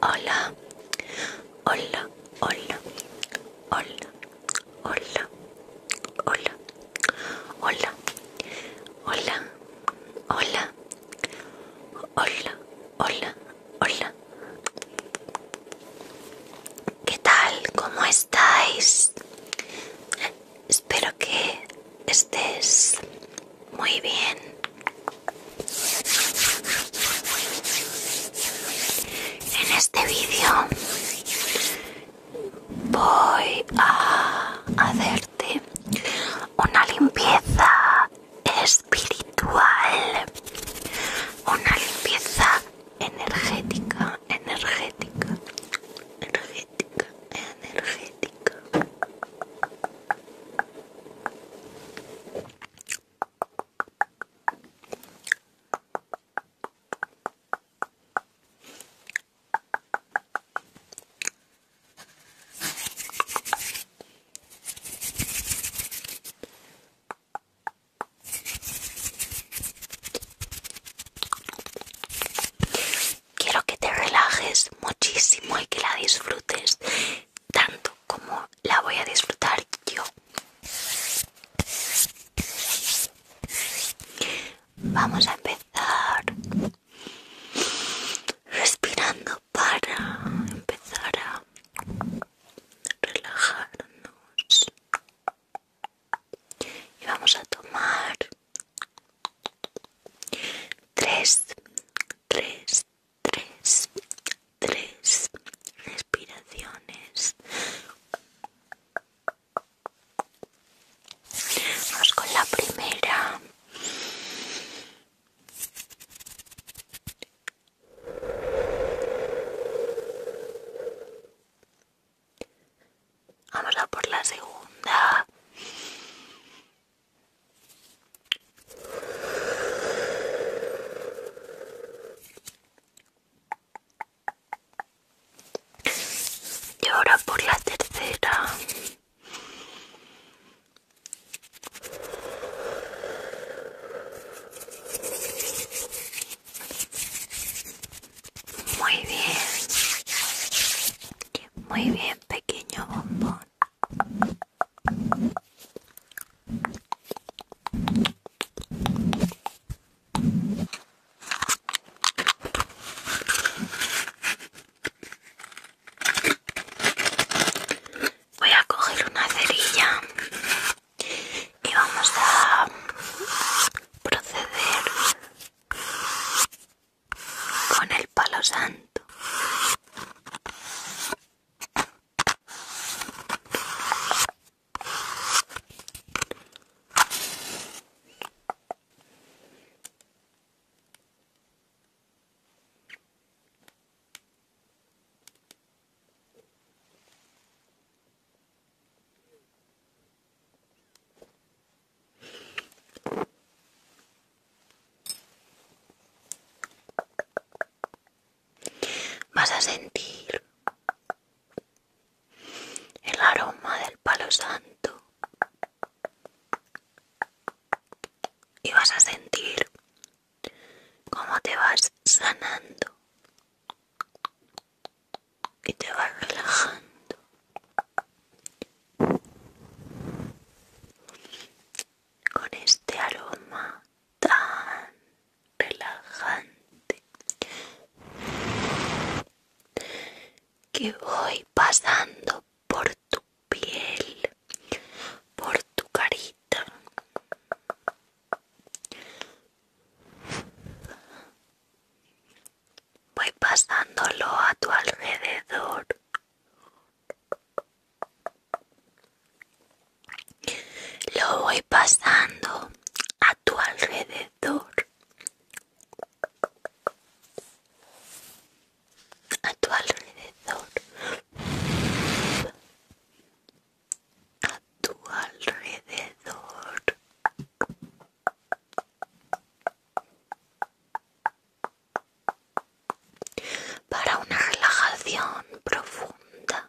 Hola, hola, hola, hola, hola, hola, hola, hola, hola, hola, hola, hola. ¿Qué tal? ¿Cómo estáis? Espero que estés muy bien. En este vídeo voy a hacerte una limpieza espiritual, una limpieza energética, energética, energética, energética. Quiero que te relajes muchísimo y que la disfrutes tanto como la voy a disfrutar yo. Vamos a empezar respirando para empezar a relajarnos. Y vamos a tomar tres, tres, tres, tres respiraciones Vamos con la primera. Vamos a por la segunda. Y ahora por la tercera. Muy bien. Muy bien, pequeño bombón. Voy a coger una cerilla y vamos a proceder con el palo santo. Vas a sentir el aroma del palo santo y vas a sentir cómo te vas sanando y te vas relajando con este aroma tan relajante que voy pasando por tu piel, por tu carita. Voy pasándolo a tu alrededor lo voy pasando a tu alrededor a tu alrededor a tu alrededor para una relajación profunda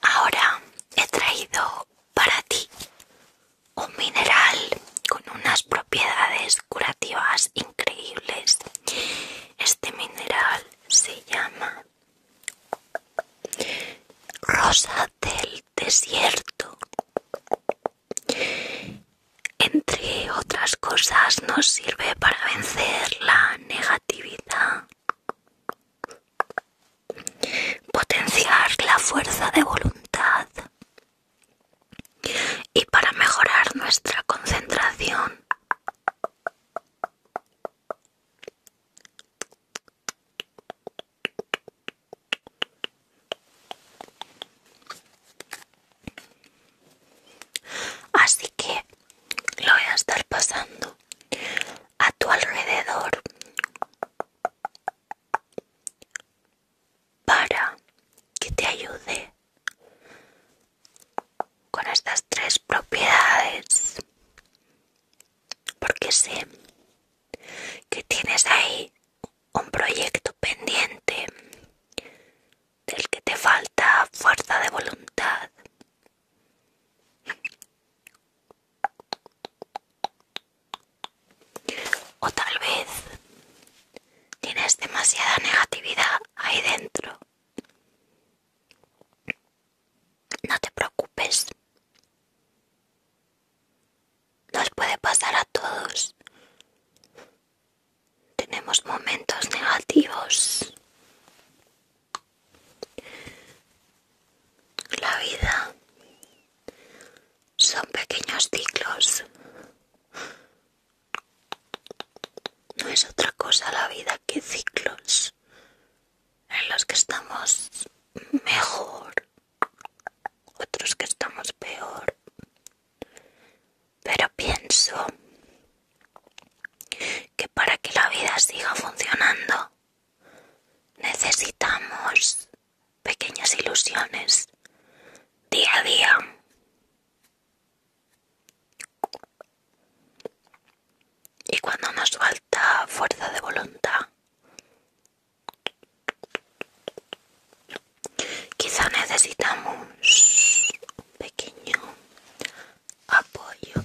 Ahora he traído para ti un mineral con unas propiedades curativas increíbles. Este mineral se llama Rosa del Desierto. Entre otras cosas nos sirve para vencer la negatividad potenciar la fuerza de voluntad y para mejorar nuestra concentración. Así que lo voy a estar pasando a tu alrededor para que te ayude con estas tres propiedades porque sé que tienes ahí un proyecto pendiente del que te falta fuerza de voluntad o tal vez tienes demasiada negatividad ahí dentro. No te preocupes. Nos puede pasar a todos. Tenemos momentos negativos. La vida son pequeños ciclos. No es otra cosa la vida que ciclos en los que estamos mejor, otros que estamos peor. Pero pienso que para que la vida siga funcionando Necesitamos pequeñas ilusiones día a día. Y cuando nos falta fuerza de voluntad, quizá necesitamos un pequeño apoyo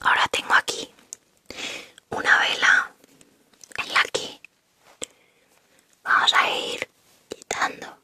Ahora tengo aquí una vela en la que vamos a ir quitando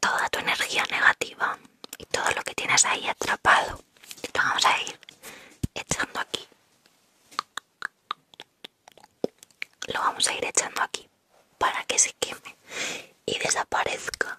toda tu energía negativa y todo lo que tienes ahí atrapado. Lo vamos a ir echando aquí lo vamos a ir echando aquí para que se queme y desaparezca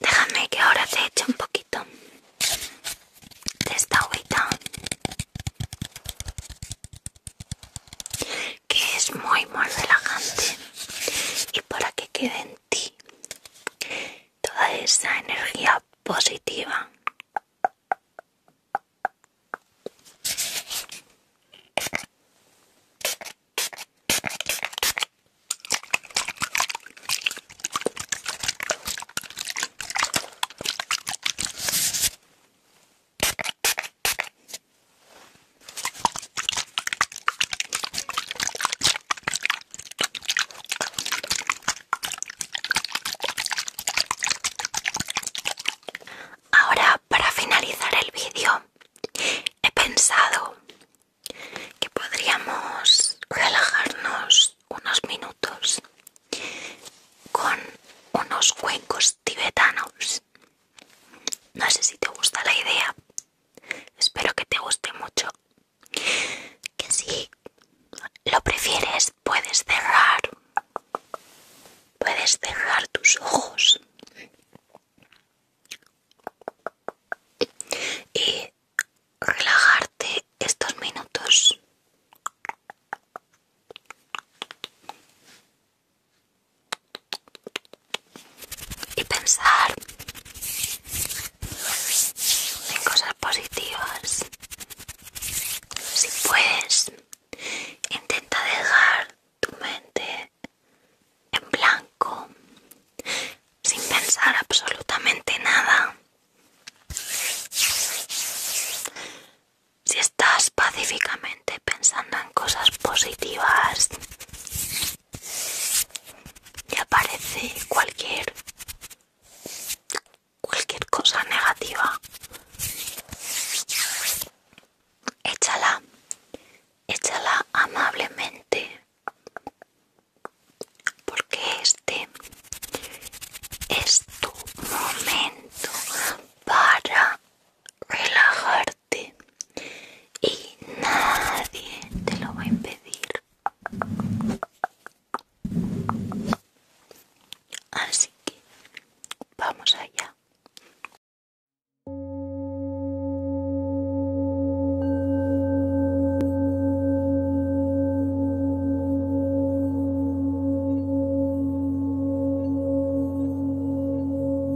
Déjame que ahora te eche un poquito de esta agüita que es muy muy relajante y para que quede en ti toda esa energía positiva Ahora, para finalizar el vídeo, he pensado que podríamos relajarnos unos minutos con unos cuencos tibetanos. No sé si te gusta la idea, Espero que te guste mucho. Que si lo prefieres, puedes cerrar. Puedes cerrar tus ojos. Y relajarte estos minutos y pensar en cosas positivas. Si puedes, intenta dejar tu mente en blanco, sin pensar absolutamente nada. Si estás pacíficamente pensando en cosas positivas, y aparece cualquier cualquier cosa negativa échala échala amablemente porque este es tu momento para relajarte y nadie te lo va a impedir. Así que vamos allá.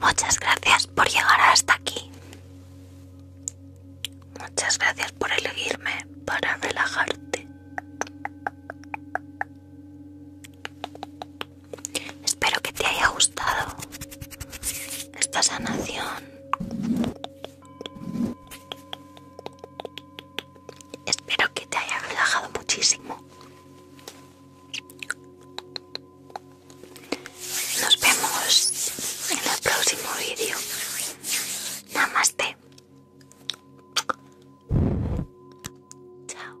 Muchas gracias por llegar hasta aquí. Muchas gracias por elegirme para relajarte. Espero que te haya gustado esta sanación. Espero que te haya relajado muchísimo. Nos vemos en el próximo vídeo. Namaste. Chao.